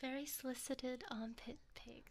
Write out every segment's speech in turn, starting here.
Very solicited armpit pigs.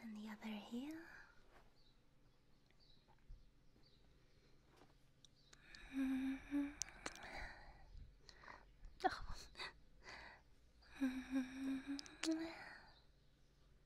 And the other heel.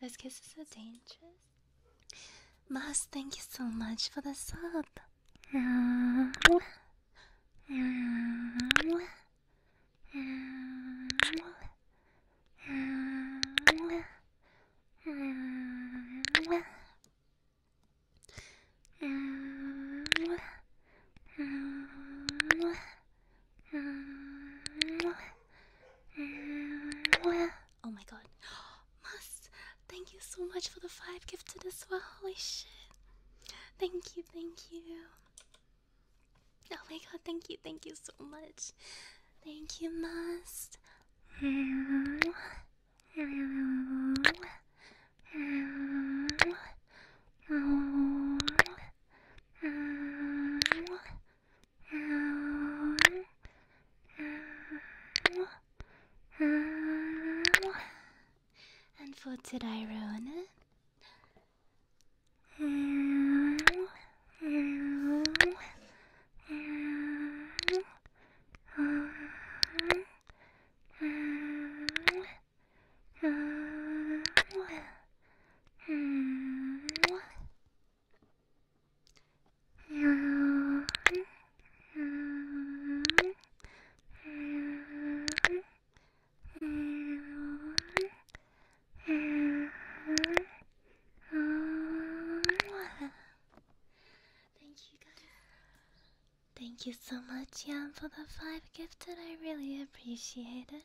This Those is so dangerous. Mas, thank you so much for the sub. Oh my god. Must, thank you so much for the five gifted as well. Holy shit. Thank you, thank you. Oh my god, thank you, thank you so much. Thank you, Must. And for today, I ruin it? Thank you guys. Thank you so much, Yan, for the five that I really appreciated.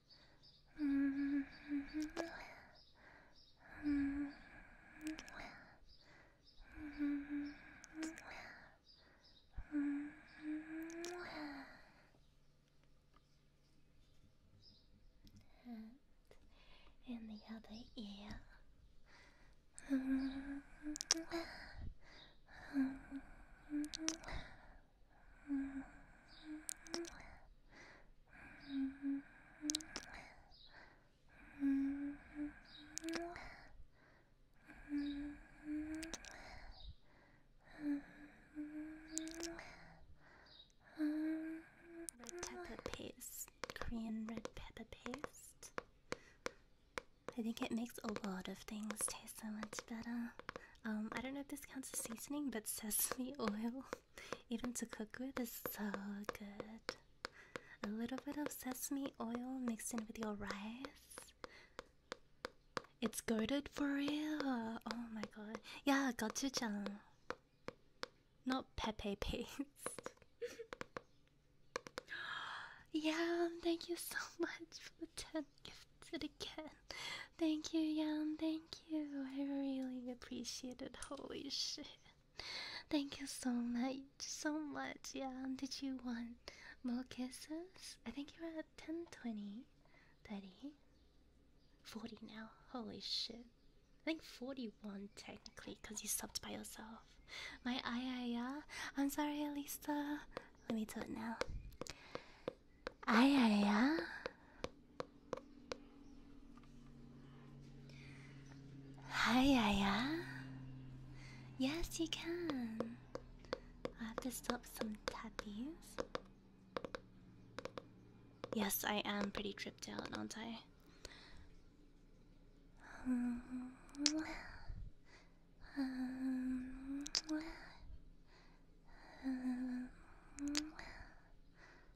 And in the other ear. Red pepper paste, Korean red pepper paste. I think it makes a lot of things taste so much better. Um, I don't know if this counts as seasoning, but sesame oil. Even to cook with is so good. A little bit of sesame oil mixed in with your rice. It's goaded for real. Oh my god. Yeah, gochujang. Not pepe paste. Yeah. thank you so much for the 10 gifted again. Thank you, Yam, thank you. I really appreciated. Holy shit. Thank you so much. So much. Yeah. Did you want more kisses? I think you're at 10, 20, 30, 40 now. Holy shit. I think 41 technically because you stopped by yourself. My ayaya. I'm sorry, Elisa. Let me do it now. Ayaya. Hi, Aya. Yes, you can. I have to stop some tappies. Yes, I am pretty tripped out, aren't I?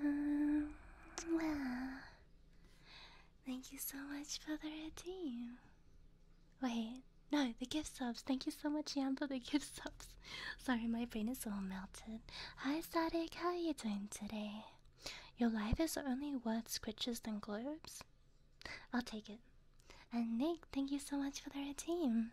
um, well, thank you so much for the redeem. Wait, no, the gift subs. Thank you so much, Yam, for the gift subs. Sorry, my brain is all melted. Hi, Static. How are you doing today? Your life is only worth scratches than globes. I'll take it. And Nick, thank you so much for the redeem.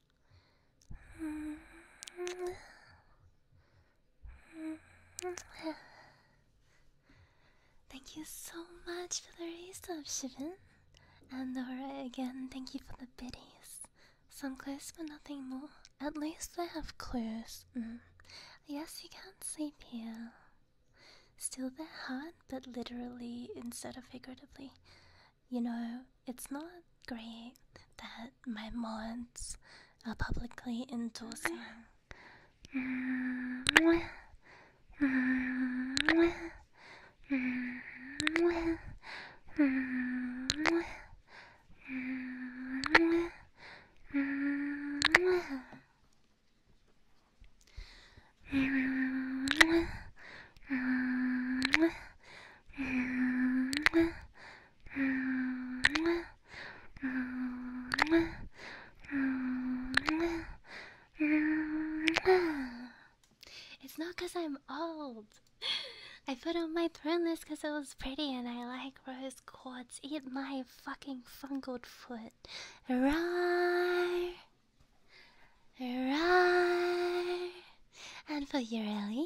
Thank you so much for the rest of Shivan. And alright again, thank you for the biddies. Some clues but nothing more. At least I have clues. Mm. Yes, you can't sleep here. Still they're hard, but literally instead of figuratively. You know, it's not great that my mods are publicly endorsing. It's not because I'm old. I put on my throne list because it was pretty and I like rose quartz. Eat my fucking fungled foot. Rawr. Rawr. And for your Ureli,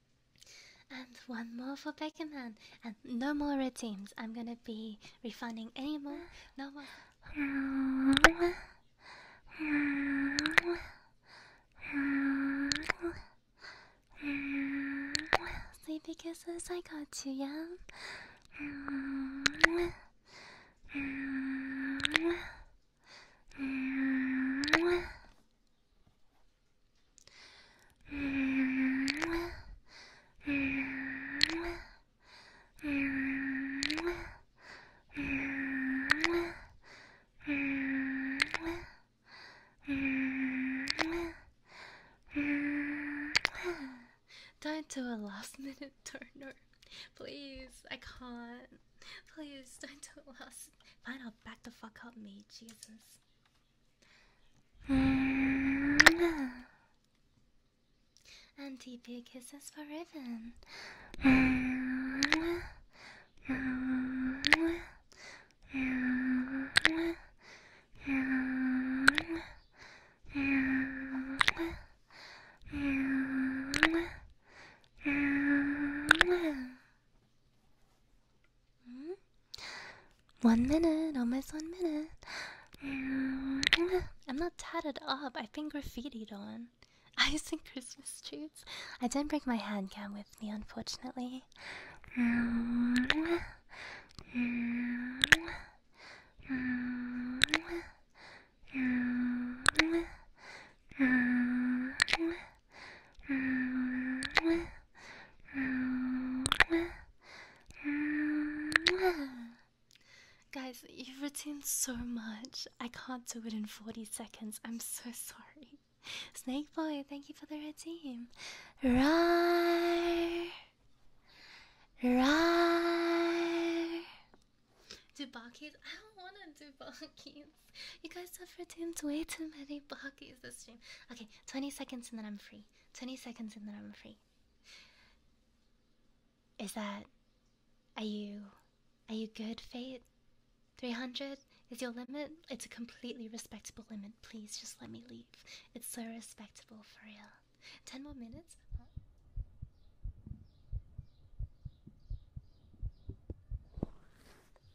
And one more for Beckerman. And no more red teams. I'm gonna be refunding any more. No more. Sleepy kisses I got to, yeah? Time to a last minute turner. Please, I can't. Please, don't do it last. Fine, I'll back the fuck up, me. Jesus and deep kisses for Riven. One minute, almost one minute. Mm, I'm not tatted up. I've been graffitied on. I sing Christmas trees. I didn't bring my hand cam with me, unfortunately. Mm. Guys, you've retained so much. I can't do it in 40 seconds. I'm so sorry. Snake Boy, thank you for the red team. Rawr. Rawr. I don't want to do barkies. You guys have retained way too many barkies. Okay, 20 seconds and then I'm free. 20 seconds and then I'm free. Is that. Are you. Are you good, Fate? 300 is your limit? It's a completely respectable limit. Please just let me leave. It's so respectable for real. 10 more minutes?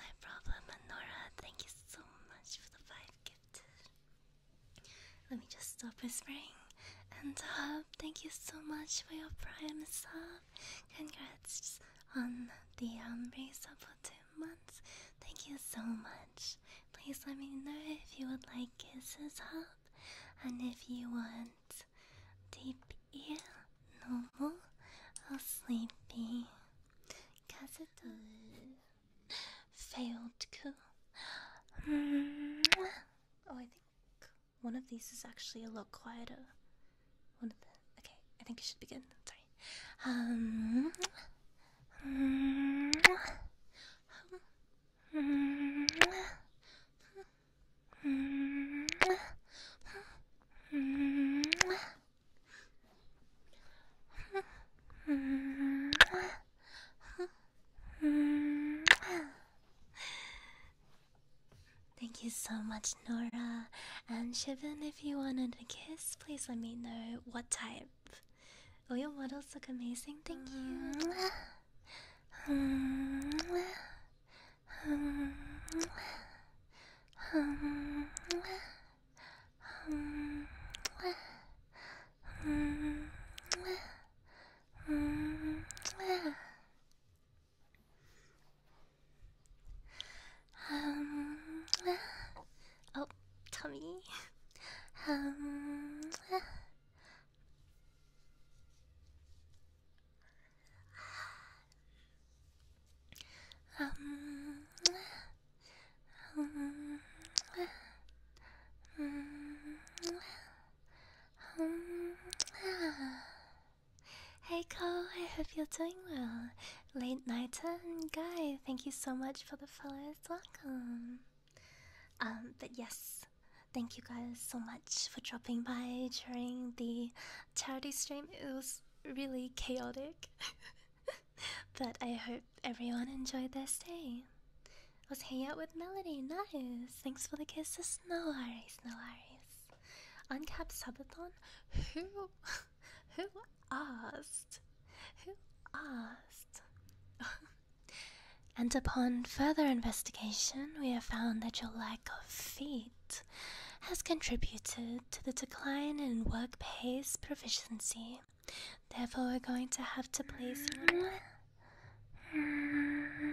No problem, Nora. Thank you so much for the five gift. Let me just stop whispering and uh, sub. Thank you so much for your prime sub. Congrats on the um sub for two months. Thank you so much. Please let me know if you would like kisses up and if you want deep ear, normal or sleepy. Kazuto failed coup. Mm-hmm. Oh, I think one of these is actually a lot quieter. One of the okay, I think you should begin. Sorry. Um, Thank you so much, Nora. And Shivan, if you wanted a kiss, please let me know what type. Oh, your models look amazing. Thank you. Um, oh, tummy. Um, um, um, um, Hmm. Hey Cole, I hope you're doing well. Late night and um, guy, thank you so much for the follows. Welcome. Um, but yes, thank you guys so much for dropping by during the charity stream. It was really chaotic, but I hope everyone enjoyed their stay. I was hanging out with Melody. Nice. Thanks for the kiss Snow Snow, worries, no worries. Uncapped Subathon? Who? Who asked? Who asked? and upon further investigation, we have found that your lack of feet has contributed to the decline in work pace proficiency. Therefore, we're going to have to place. Mm-hmm.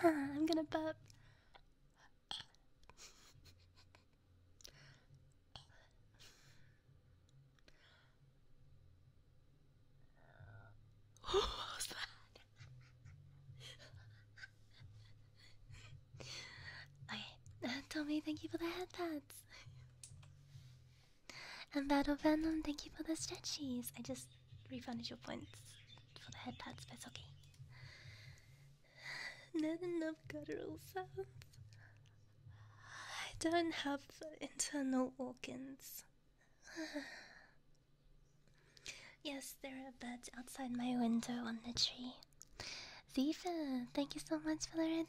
I'm gonna burp. what was that? okay, uh, thank you for the head and Battle Venom, thank you for the stretchies. I just refunded your points for the head pats, but it's okay. Not enough guttural sounds. I don't have internal organs. yes, there are birds outside my window on the tree. Ziva, thank you so much for the red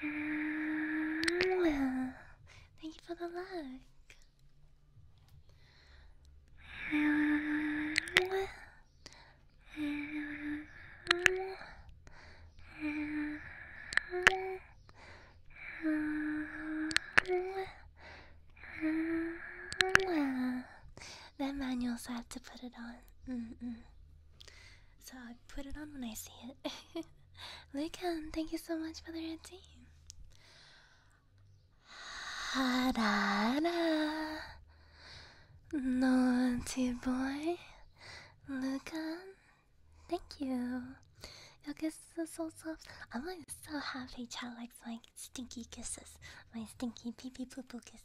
Thank you for the like. That manual, so to put it on so I put it on when I see it. Lucan, thank you so much for the red team. Harada, naughty boy, Lucan, thank you. Your kisses are so soft. I'm like so happy. Child likes my stinky kisses, my stinky pee pee poo poo kisses.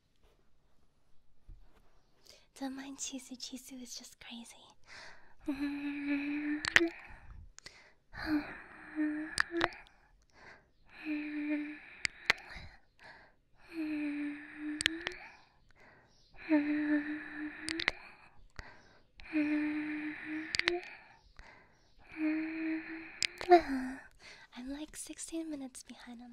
Don't mind Chisu, Chisu is just crazy. I'm like 16 minutes behind him.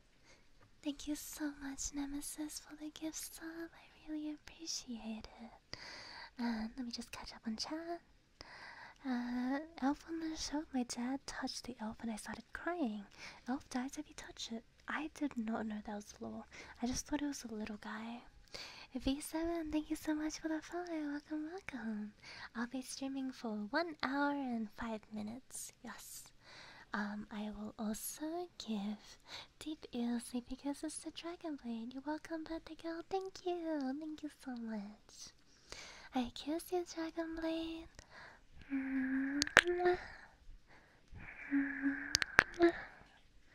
Thank you so much, Nemesis, for the gifts, sub. I really appreciate it. Uh, let me just catch up on chat. Uh, elf on the show, my dad touched the elf and I started crying. Elf dies if you touch it. I did not know that was a lore. I just thought it was a little guy. V7, thank you so much for the follow. Welcome, welcome. I'll be streaming for one hour and five minutes. Yes. Um, I will also give Deep ELC because it's the Dragon Blade. You're welcome, Birthday Girl. Thank you. Thank you so much. I kiss you, Dragon Blade.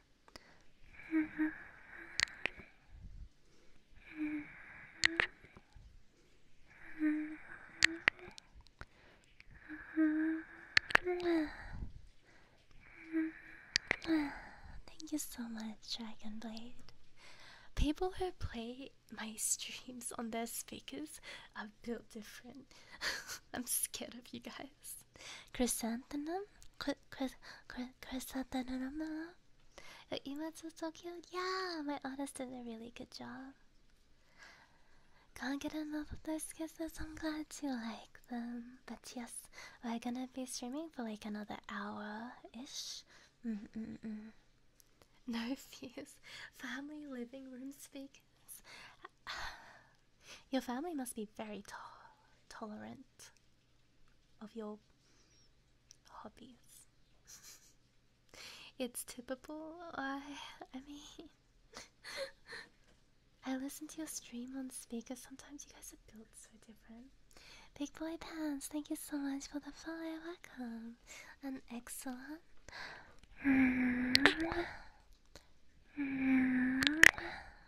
Thank you so much, Dragonblade. People who play my streams on their speakers are built different. I'm scared of you guys. Chrysanthemum? Chry chrysanthemum? Your emotes are so Yeah, my artist did a really good job. Can't get enough of those kisses. I'm glad you like them. But yes, we're gonna be streaming for like another hour ish. No fears. Family living room speakers. Your family must be very to tolerant of your hobbies. it's typical. I, I mean, I listen to your stream on speaker. Sometimes you guys are built so different. Big boy pants, thank you so much for the follow. Welcome. An excellent.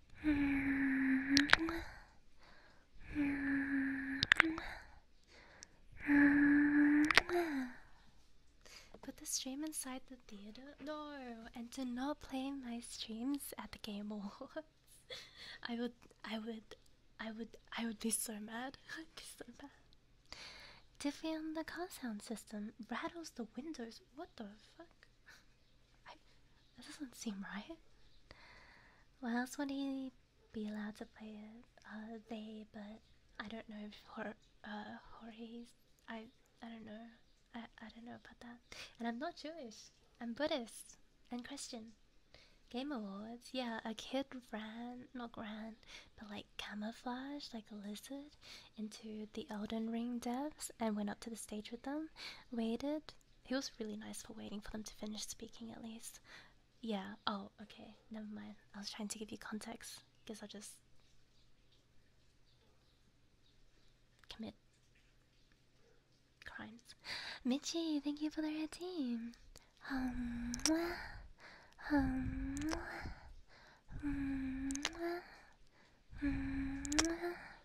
Put the stream inside the theater door and do not play my streams at the game awards. I would, I would, I would, I would be so mad. I'd be so mad. Diffie on the car sound system rattles the windows. What the fuck? That doesn't seem right. What else would he be allowed to play it? Uh, they, but I don't know if Hor uh, Jorge's. I, I don't know. I, I don't know about that. And I'm not Jewish. I'm Buddhist and Christian. Game Awards, yeah, a kid ran, not ran, but like camouflaged like a lizard into the Elden Ring devs and went up to the stage with them waited. It was really nice for waiting for them to finish speaking, at least. Yeah, oh, okay, never mind. I was trying to give you context. because I'll just commit crimes. Michi, thank you for the routine.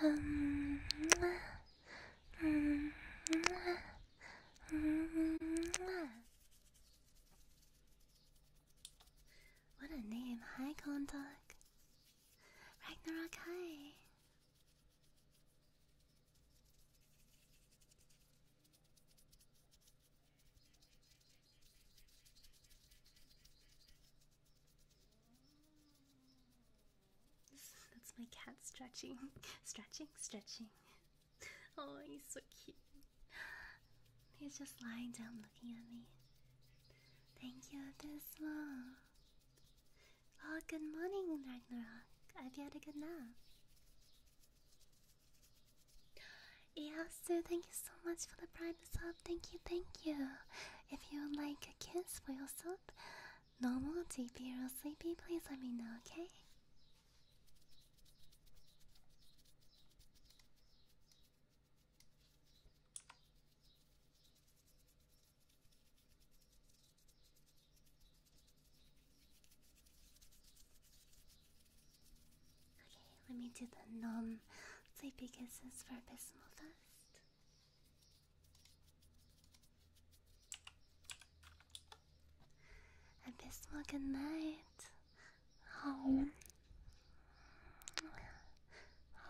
What a name. Hi, Kontak. Ragnarok, hi. That's my cat stretching, stretching, stretching. Oh, he's so cute. He's just lying down looking at me. Thank you, Abysmal. Oh, good morning, Ragnarok. I hope you had a good nap. sir. thank you so much for the private sub. Thank you, thank you. If you would like a kiss for your up, normal, deepy, or sleepy, please let me know, okay? Okay, let me do the non sleepy kisses for Abysmal first. Abysmal, good night. Oh.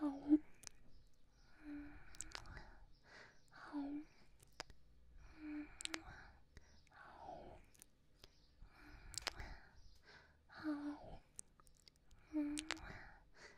Oh. Oh. Oh. Oh.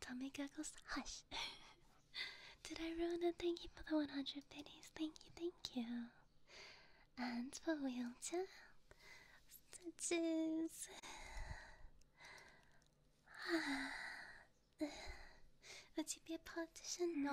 Tommy Goggles, hush. Did I ruin it? Thank you for the 100 pennies. Thank you, thank you. And for wheelchair, stitches. Would you be a politician? No.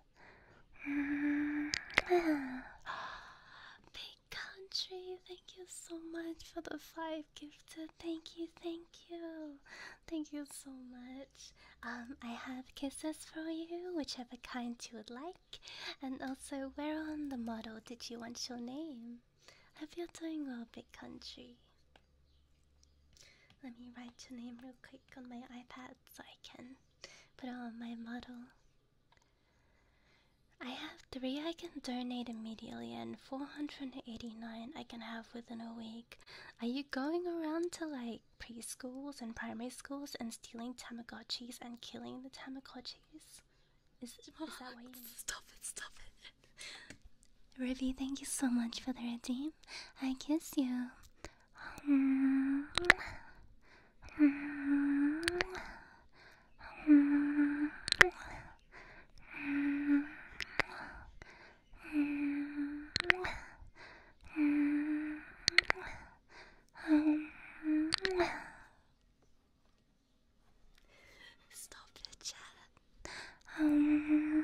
Big country, thank you so much for the five gifted. Thank you, thank you, thank you so much. Um, I have kisses for you, whichever kind you would like, and also where on the model did you want your name? Hope you're doing well, big country. Let me write your name real quick on my iPad so I can put on my model. I have three I can donate immediately and 489 I can have within a week. Are you going around to like preschools and primary schools and stealing Tamagotchis and killing the Tamagotchis? Is, is that what you mean? Stop it, stop it. Ruby, thank you so much for the redeem. I kiss you. Stop it, Chad.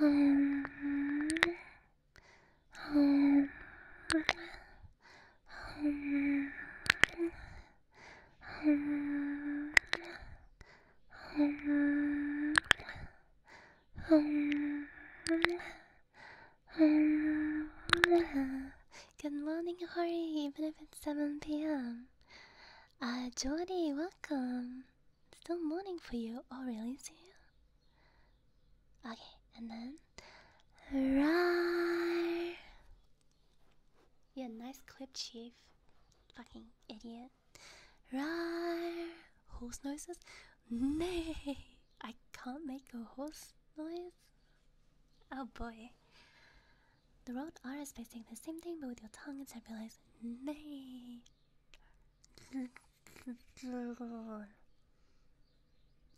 Um, um, um, um, um, um, um, Good morning, Hori, even if it's 7 p.m. Uh, Jordy, welcome. Still morning for you. Oh, really? See you? Okay, and then. Rawr. Yeah, nice clip, Chief. Fucking idiot. Rawr. Horse noises? Nay! I can't make a horse noise? Oh boy. The road R is basically the same thing but with your tongue instead realize nay.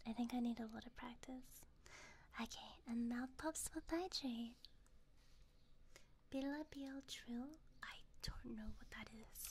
I think I need a lot of practice. Okay, and mouth pops with hydrate. Bila BL drill? I don't know what that is.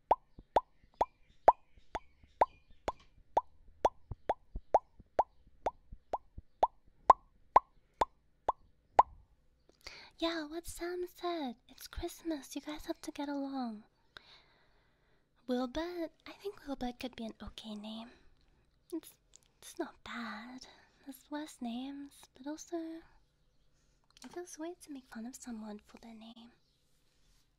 Yeah, what Sam said. It's Christmas. You guys have to get along. Wilbur, I think Wilbur could be an okay name. It's it's not bad. There's worse names, but also it feels weird to make fun of someone for their name.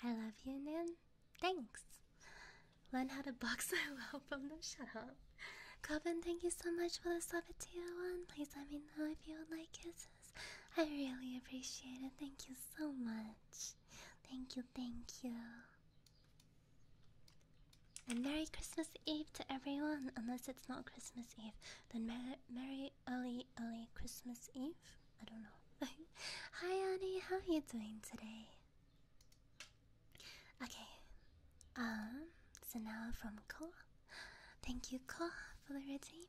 I love you, Nan. Thanks. Learn how to box. I welcome. No, shut up. Coven, thank you so much for the sub tier one. Please let me know if you would like it. I really appreciate it. Thank you so much. Thank you, thank you. And Merry Christmas Eve to everyone. Unless it's not Christmas Eve, then Merry Early Early Christmas Eve. I don't know. Hi, Annie. How are you doing today? Okay. Um. So now from Koa. Thank you, Koa, for the routine.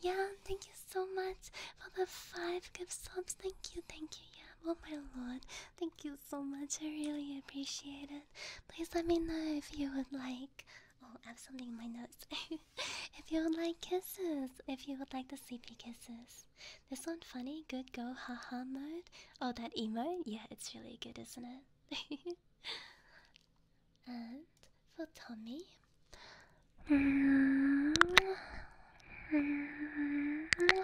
yeah, thank you so much for the five gift subs. Thank you, thank you. Yeah, oh my lord, thank you so much. I really appreciate it. Please let me know if you would like Oh, I have something in my notes. if you would like kisses, if you would like the sleepy kisses. This one funny, good go, haha mode. Oh, that emo, Yeah, it's really good, isn't it? and for Tommy.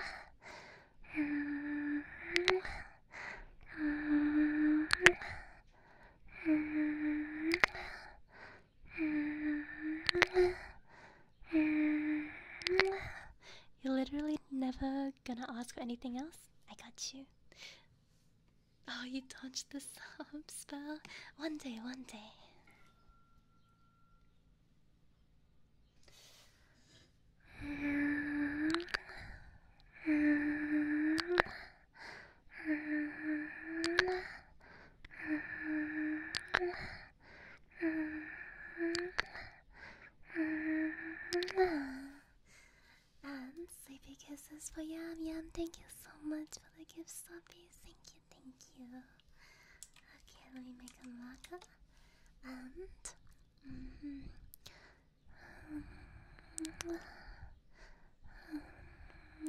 You're literally never gonna ask for anything else? I got you. Oh, you touched the sub spell. One day, one day. And um, sleepy kisses for Yam Yam. Thank you so much for the gift, Sloppy. Thank you, thank you. Okay, let me make a marker. And. Mm -hmm. Mm -hmm. Mm -hmm.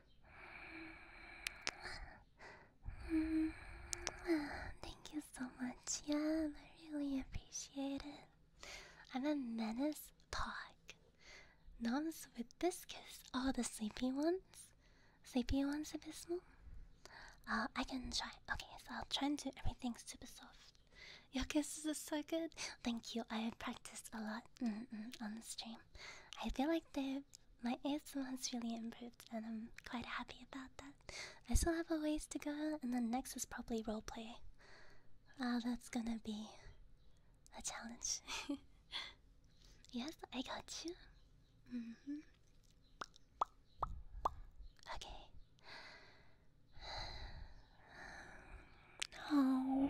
Thank you so much, yeah. I really appreciate it. I'm a menace pog. Noms with this kiss. all the sleepy ones? Sleepy ones, Abysmal? Uh, I can try. Okay, so I'll try and do everything super soft. Your kisses are so good. Thank you. I have practiced a lot on the stream. I feel like they're my ASMR has really improved, and I'm quite happy about that. I still have a ways to go, and then next is probably roleplay. Ah, uh, that's gonna be a challenge. yes, I got you. Mm-hmm. Okay. No.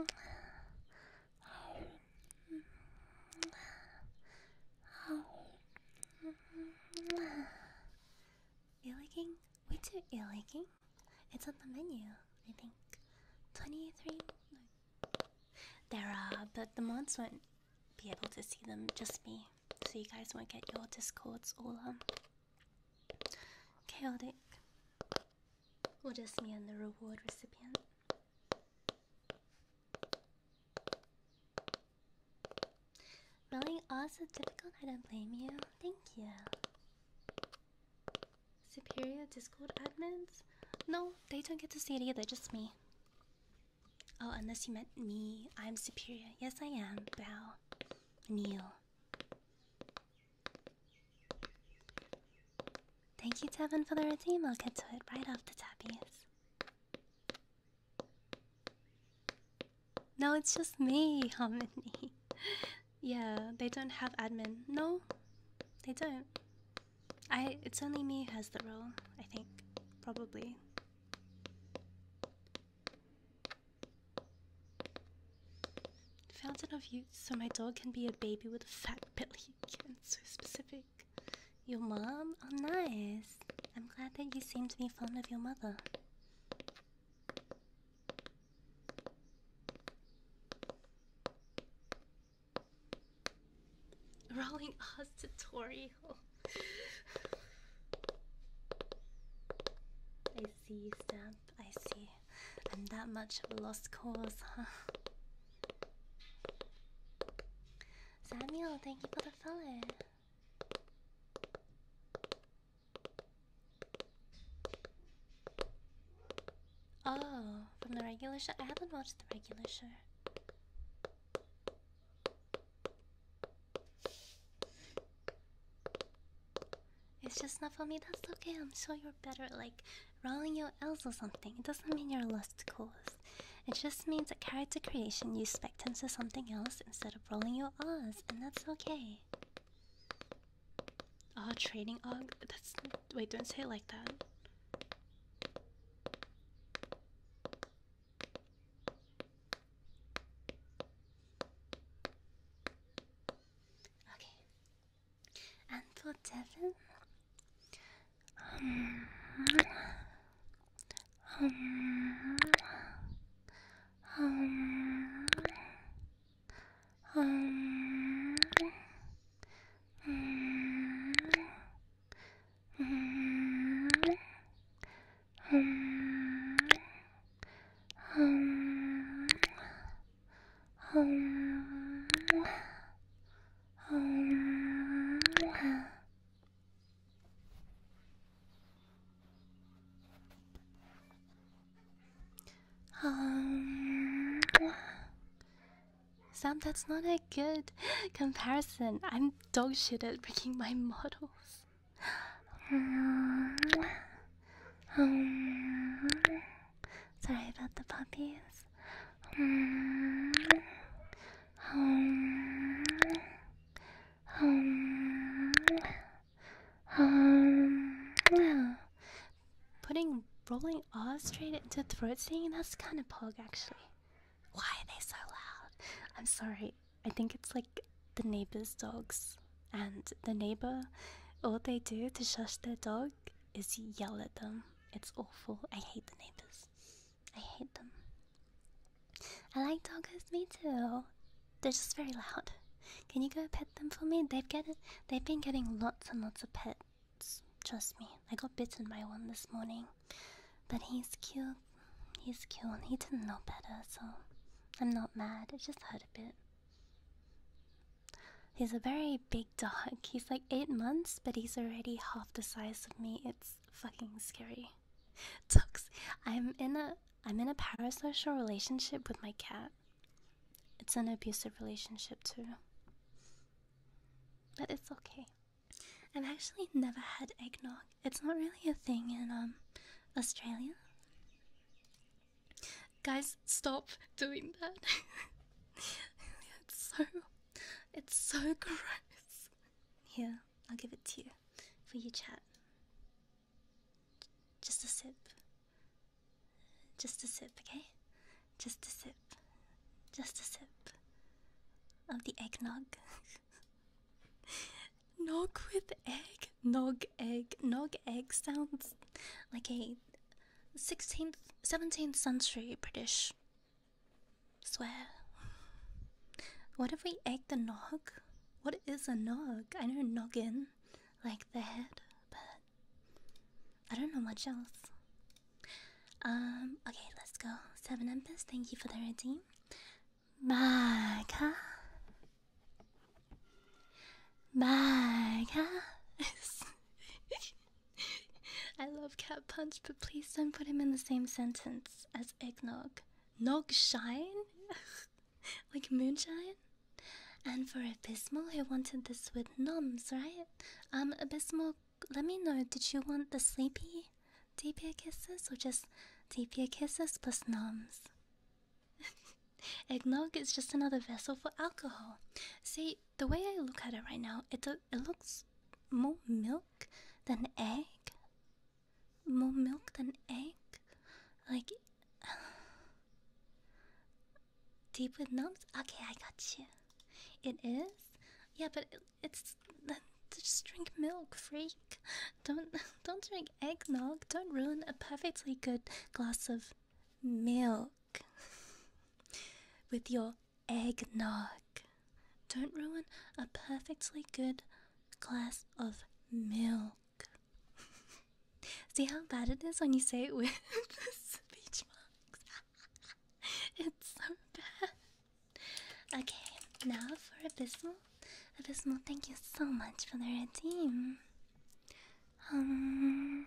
Oh. Oh. Oh. Illiking? Wait to illiking? It's on the menu, I think. 23? There are, but the mods won't be able to see them, just me. So you guys won't get your discords all um, chaotic. Or just me and the reward recipient. Really? Also difficult? I don't blame you. Thank you. Superior Discord admins? No, they don't get to see it either, just me. Oh, unless you meant me. I'm superior. Yes, I am. Bow. Kneel. Thank you, Tevin, for the redeem. I'll get to it right after the tappies. No, it's just me, Hominy. Yeah, they don't have admin. No, they don't. I it's only me who has the role, I think. Probably. Fountain of Youth, so my dog can be a baby with a fat belly. Yeah, it's so specific. Your mom? Oh, nice. I'm glad that you seem to be fond of your mother. Rolling Oz tutorial. I see, Stamp. I see. I'm that much of a lost cause, huh? Samuel, thank you for the follow. Oh, from the regular show? I haven't watched the regular show. It's just not for me, that's okay. I'm sure you're better like rolling your L's or something. It doesn't mean you're lost cause. It just means that character creation you spectums to something else instead of rolling your R's, and that's okay. Ah, oh, training og. That's wait. Don't say it like that. Okay. And for Devin. Um, um, um, um, um, um, um, um, um, um, um, um, Sam, that's not a good comparison. I'm dogshit at picking my models. Sorry about the puppies. putting rolling R straight into throat singing, that's kind of pog actually. Why are they so loud? I'm sorry, I think it's like the neighbor's dogs. And the neighbor, all they do to shush their dog is yell at them. It's awful. I hate the neighbors. I hate them. I like dogs. me too. They're just very loud. Can you go pet them for me? They've get They've been getting lots and lots of pet Trust me, I got bitten by one this morning. But he's cute. He's cute. and He didn't know better, so I'm not mad. It just hurt a bit. He's a very big dog. He's like eight months, but he's already half the size of me. It's fucking scary. Tux, I'm in a I'm in a parasocial relationship with my cat. It's an abusive relationship too. But it's okay. I've actually never had eggnog. It's not really a thing in um Australia. Guys, stop doing that. it's so it's so gross. Here, I'll give it to you for you chat. Just a sip. Just a sip, okay? Just a sip. Just a sip of the eggnog. nog with egg? Nog egg. Nog egg sounds like a 16th, 17th century British swear. What if we egg the nog? What is a nog? I know noggin, like the head, but I don't know much else. Um, okay, let's go. Seven Empress, thank you for the redeem. Maga. Maga. I love cat punch, but please don't put him in the same sentence as eggnog. Nog shine? like moonshine? And for Abysmal, he wanted this with noms, right? Um, Abysmal, let me know. Did you want the sleepy tapir kisses or just tapir kisses plus noms? Eggnog is just another vessel for alcohol. See, the way I look at it right now, it do it looks more milk than egg. More milk than egg. Like Deep with numbs? Okay, I got you. It is? Yeah, but it's just drink milk, freak. Don't don't drink eggnog. Don't ruin a perfectly good glass of milk with your eggnog. Don't ruin a perfectly good glass of milk. See how bad it is when you say it with speech marks. it's so bad. Okay, now for Abyssal. Abyssal, thank you so much for the redeem. Um,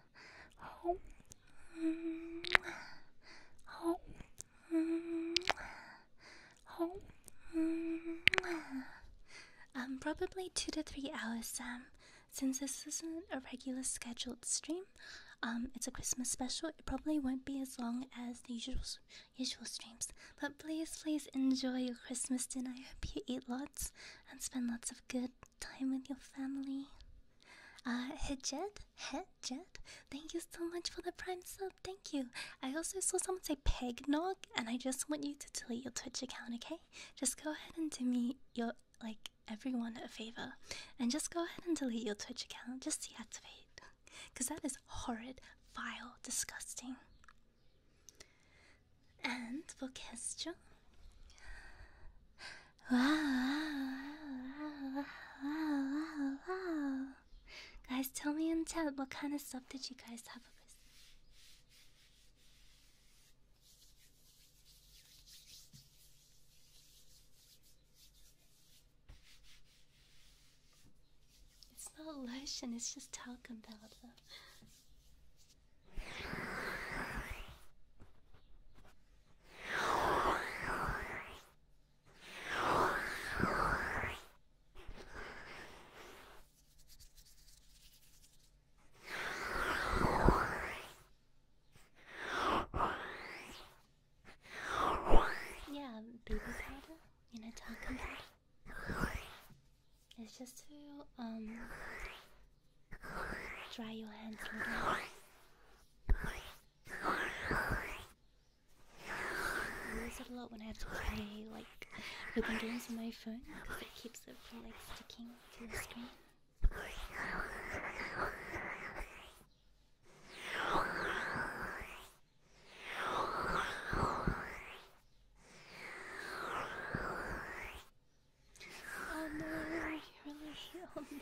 Oh. Mm. Oh. Mm. Oh. Mm. Um, probably two to three hours, Sam. Since this isn't a regular scheduled stream, um, it's a Christmas special. It probably won't be as long as the usual usual streams. But please, please enjoy your Christmas dinner. I hope you eat lots and spend lots of good time with your family. Uh, Hedjed, Hedjed, thank you so much for the prime sub. Thank you. I also saw someone say Pegnog, and I just want you to delete your Twitch account, okay? Just go ahead and do me your like everyone a favor, and just go ahead and delete your Twitch account. Just deactivate, cause that is horrid, vile, disgusting. And for question. Wow, wow, wow, wow, wow. Guys, tell me in chat what kind of stuff did you guys have It's not lotion, it's just talcum powder. Yeah, baby powder in a talk about. It's just to um Dry your hands, little. I use it a lot when I have to play, like, open games on my phone, because it keeps it from, like, sticking to the screen. Oh no, I really oh, no.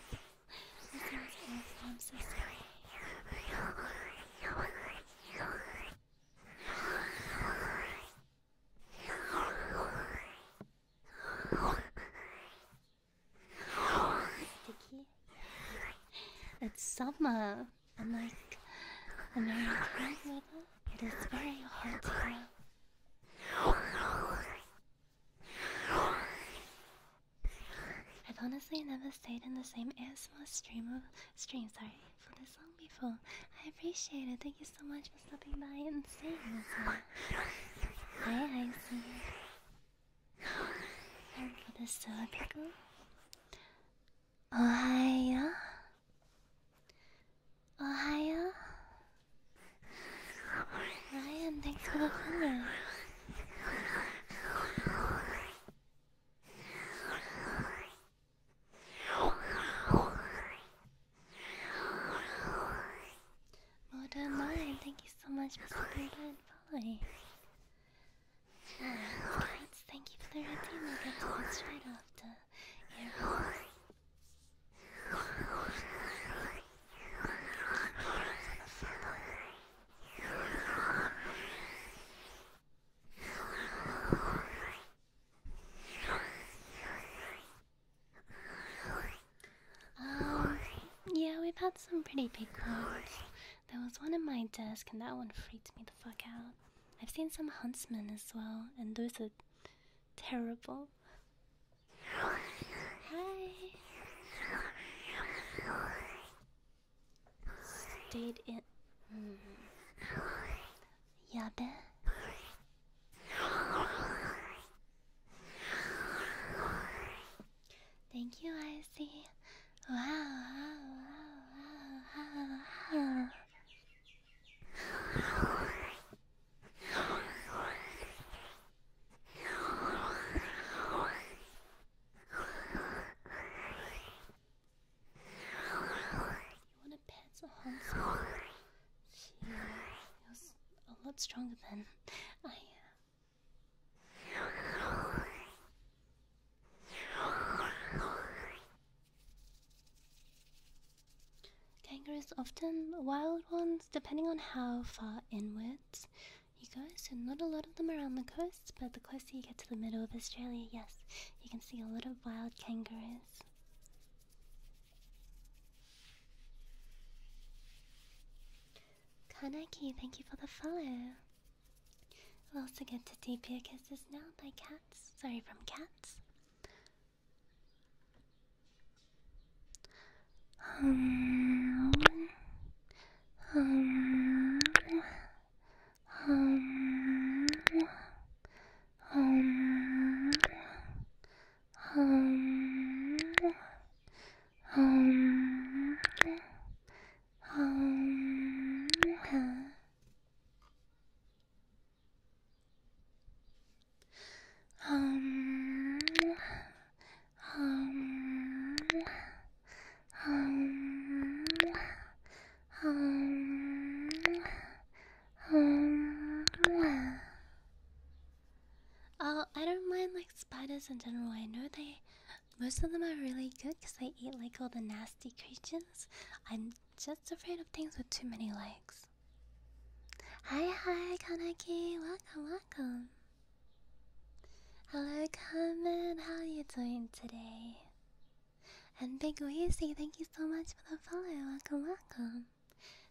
That sounds awful. I'm so sorry. Sticky. It's summer. I'm like American weather. It is very hot here. I've honestly never stayed in the same ASMR stream of stream, sorry, for this long before. I appreciate it. Thank you so much for stopping by and seeing. this. Hi, Icy. And for the soda pickle. Ohio. Ohio. Ryan, thanks for the thunder. Modern Mind, thank you so much for the and follow. Kites, thank you for the redeem. I got to watch right off the airport. Um, yeah, we've had some pretty big ones. There was one in my desk, and that one freaked me the fuck out. I've seen some huntsmen as well, and those are terrible hello. Hi. Stayed in. Mm. Thank you, Icy. Wow, wow. You want to pet the Hanzo? She uh, feels a lot stronger than I am. Kangaroos often wild ones, depending on how far inwards you guys, So not a lot of them around the coast, but the closer you get to the middle of Australia, yes, you can see a lot of wild kangaroos. Kanaki, thank you for the follow. We'll also get to deep ear kisses now by cats. Sorry, from cats. Um, um, um, um, um, um, um, um, um, um, um. Oh, I don't mind like spiders in general. I know they, most of them are really good because they eat like all the nasty creatures. I'm just afraid of things with too many legs. Hi, hi, Kaneki. Welcome, welcome. Hello, Carmen. How are you doing today? And Big Wheezy, thank you so much for the follow. Welcome, welcome.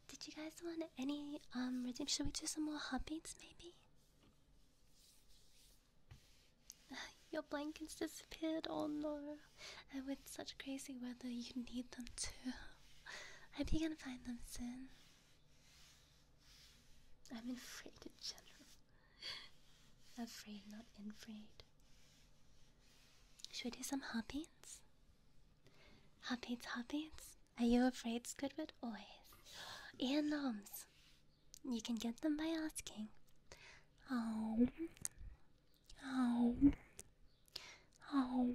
Did you guys want any um redeem? Should we do some more hobbits, maybe? Your blankets disappeared. Oh no! And with such crazy weather, you need them too. Hope you are gonna find them soon. I'm afraid in general. afraid, not afraid. Should we do some hobbies? Hobbies, hobbies. Are you afraid, Squidward? Always. And noms. You can get them by asking. Oh. Oh. Oh.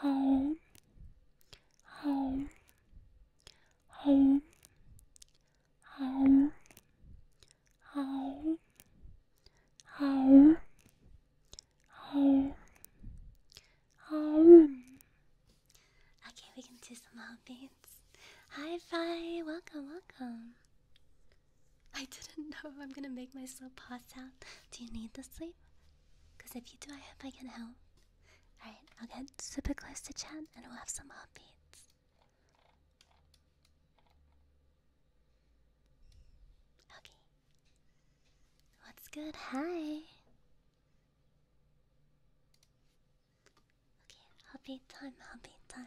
home, home, home, home, home, home, home, home. Okay, we can do some more beats. Hi, Fi. Welcome, welcome. I didn't know if I'm gonna make myself pass out. Do you need the sleep? Because if you do, I hope I can help. Alright, I'll get super close to Chad, and we'll have some heartbeats. Okay. What's good? Hi. Okay, heartbeat time, heartbeat time.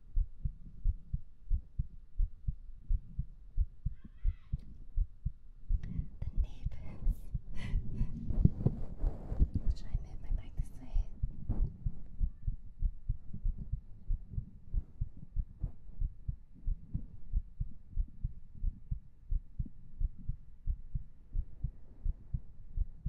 The neighbors. Should I move my mic this way? Good.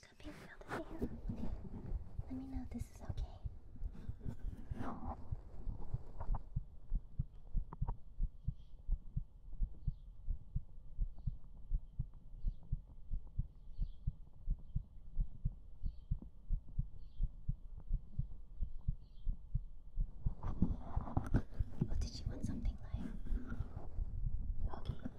Cupping felt it here. Let me know if this is okay. Oh, did you want something like? okay.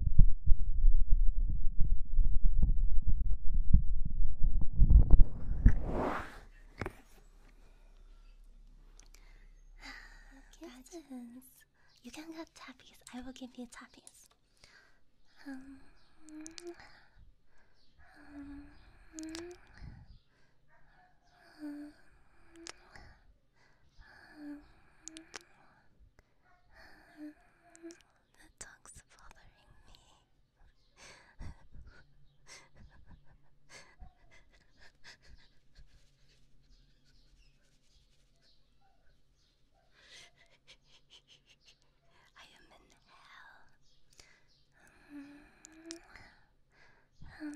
Kittens, you can get tappies. I will give you tappies. Um, um, um, um, um, um, the dog's bothering me. I am in hell.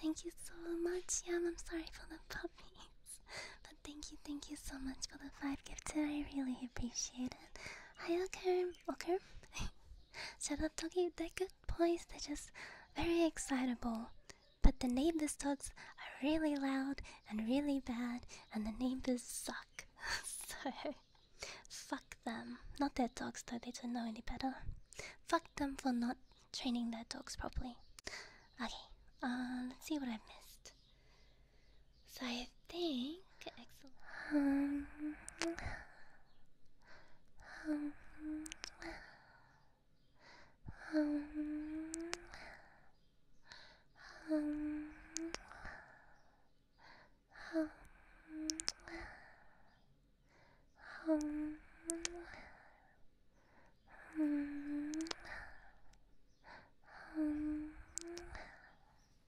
Thank you so much, Yam. I'm sorry for the puppies. But thank you, thank you so much for the five gifted. I really appreciate it. Okay, okay. Ocker? Shadatogi, they're good boys, they're just very excitable. But the neighbors' dogs are really loud and really bad, and the neighbors suck. so, fuck them. Not their dogs, though, they don't know any better. Fuck them for not training their dogs properly. Okay, um, let's see what i missed. So I think. Excellent. Um, um,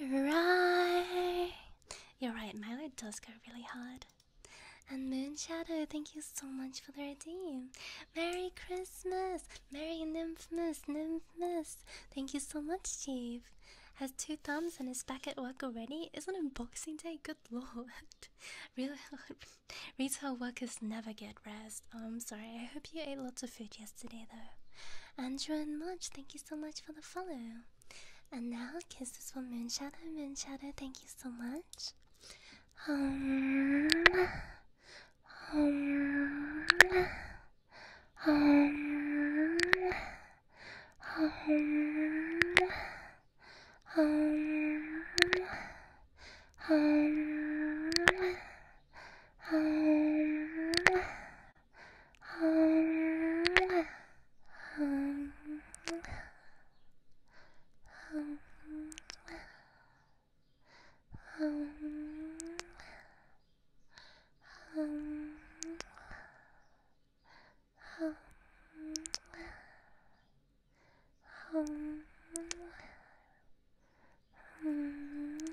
Right. You're right, Milo does go really hard. And Moonshadow, thank you so much for the redeem. Merry Christmas! Merry Nymphmas, Nymphmas! Thank you so much, Chief. Has two thumbs and is back at work already? Isn't it Boxing Day? Good lord. Real retail workers never get rest. I'm sorry. I hope you ate lots of food yesterday, though. Andrew and Munch, thank you so much for the follow. And now kisses for Moonshadow. Moonshadow, thank you so much. Um, um, um, um, um, um, um, um, um,